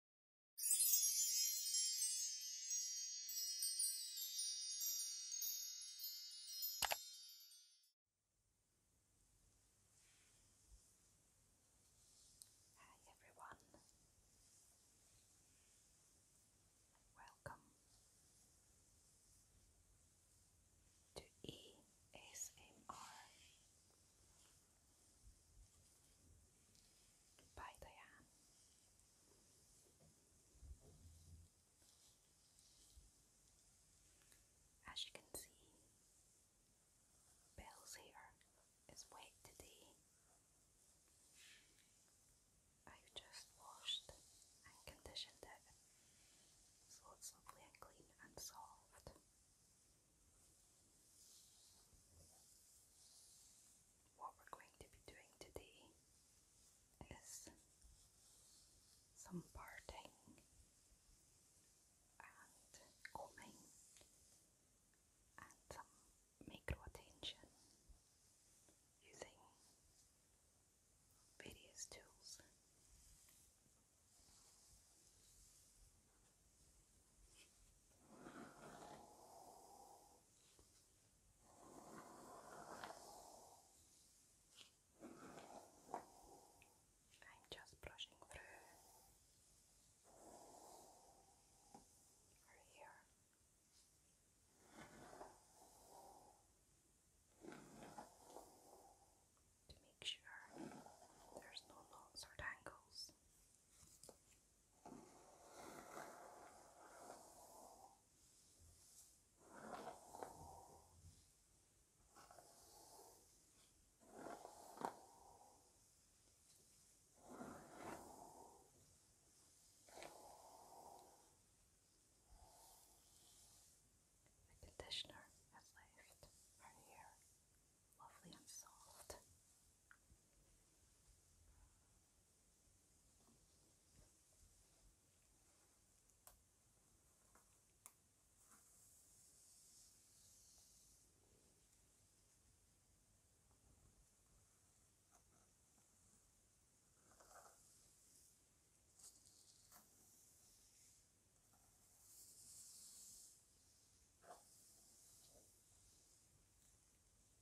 Hi everyone, welcome to ESMR Bye, Diane. As you can see, Belle's hair is wet today. I've just washed and conditioned it so it's lovely and clean and soft. What we're going to be doing today is some parting and combing and some micro attention using various tools. I'm just brushing through her hair. To make sure there's no knots or tangles. The conditioner has left her hair lovely and soft.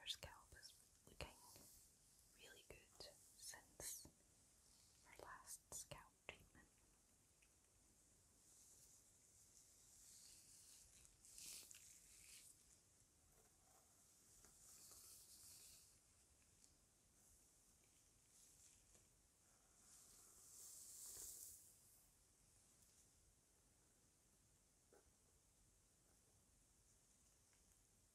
Her scalp is looking really good since her last scalp treatment.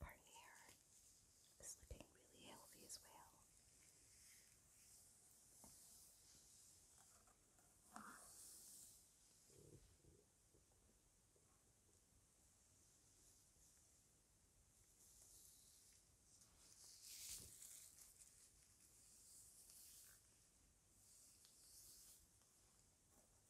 Our hair is looking really healthy as well.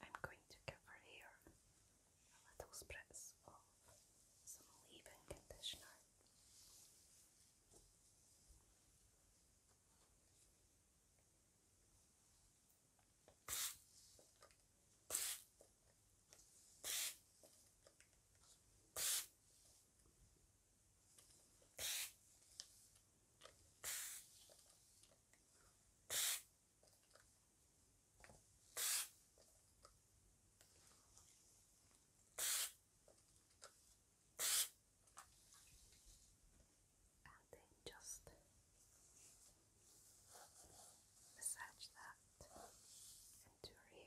I'm going to give her hair a little spritz of some leave-in conditioner and then just massage that into her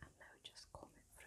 And now just comb it through.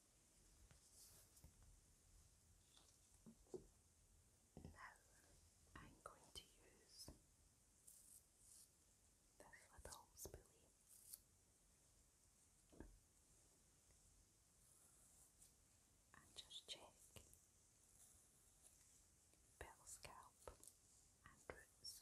Now I'm going to use this little spoolie. And just check bell scalp and roots.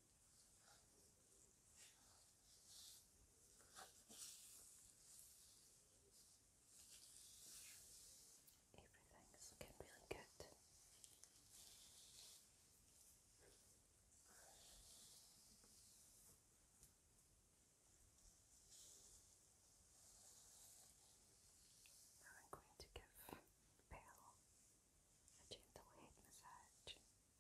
Everything is looking really good. Now I'm going to give Pearl a gentle head massage.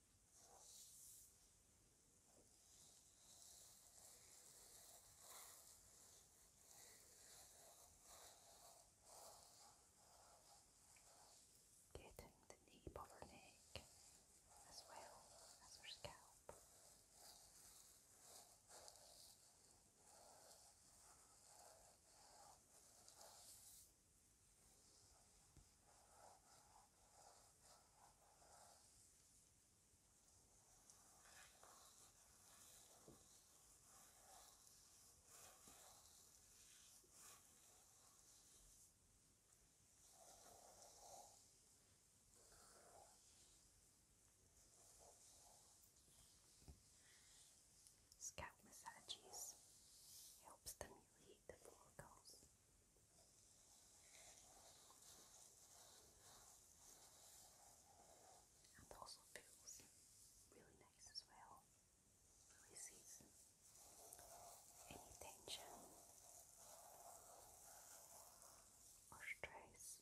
Getting the nape of her neck as well as her scalp. Scalp massages helps stimulate the follicles and also feels really nice as well. Releases any tension or stress.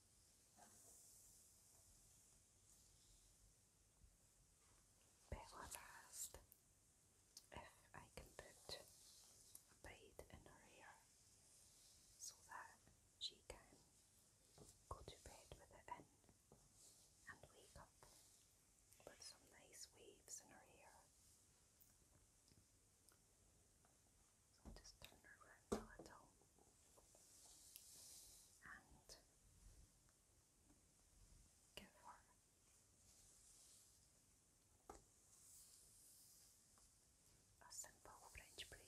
Bella asked if I can put a braid in her hair so that she can go to bed with it in and wake up with some nice waves in her hair. So i just turn her around a little. And give her a simple French braid.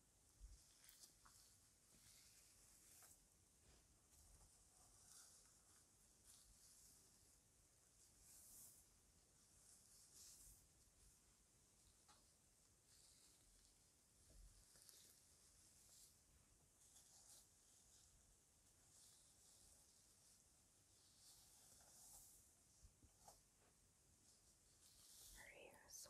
Her hair is so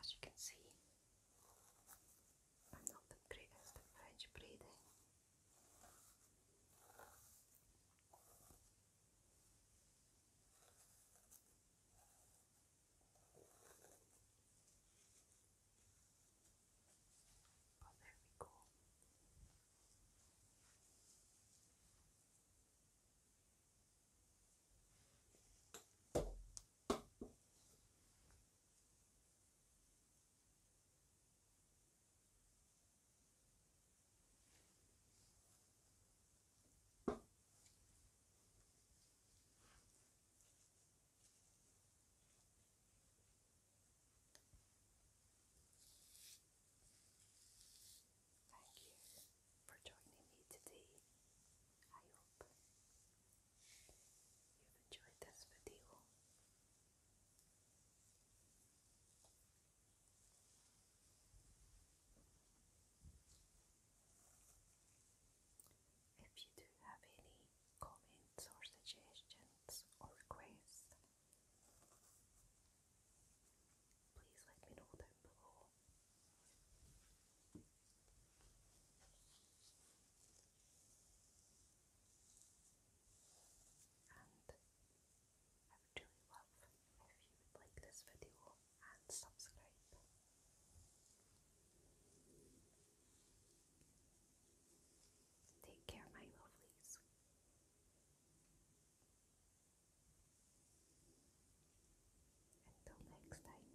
As you can see, I'm not the greatest French braiding. But there we Thank you for joining me today. I hope you've enjoyed this video. If you do have any comments or suggestions or requests, please let me know down below. And I would really love if you would like this video and subscribe. Take care, my lovelies. Until next time.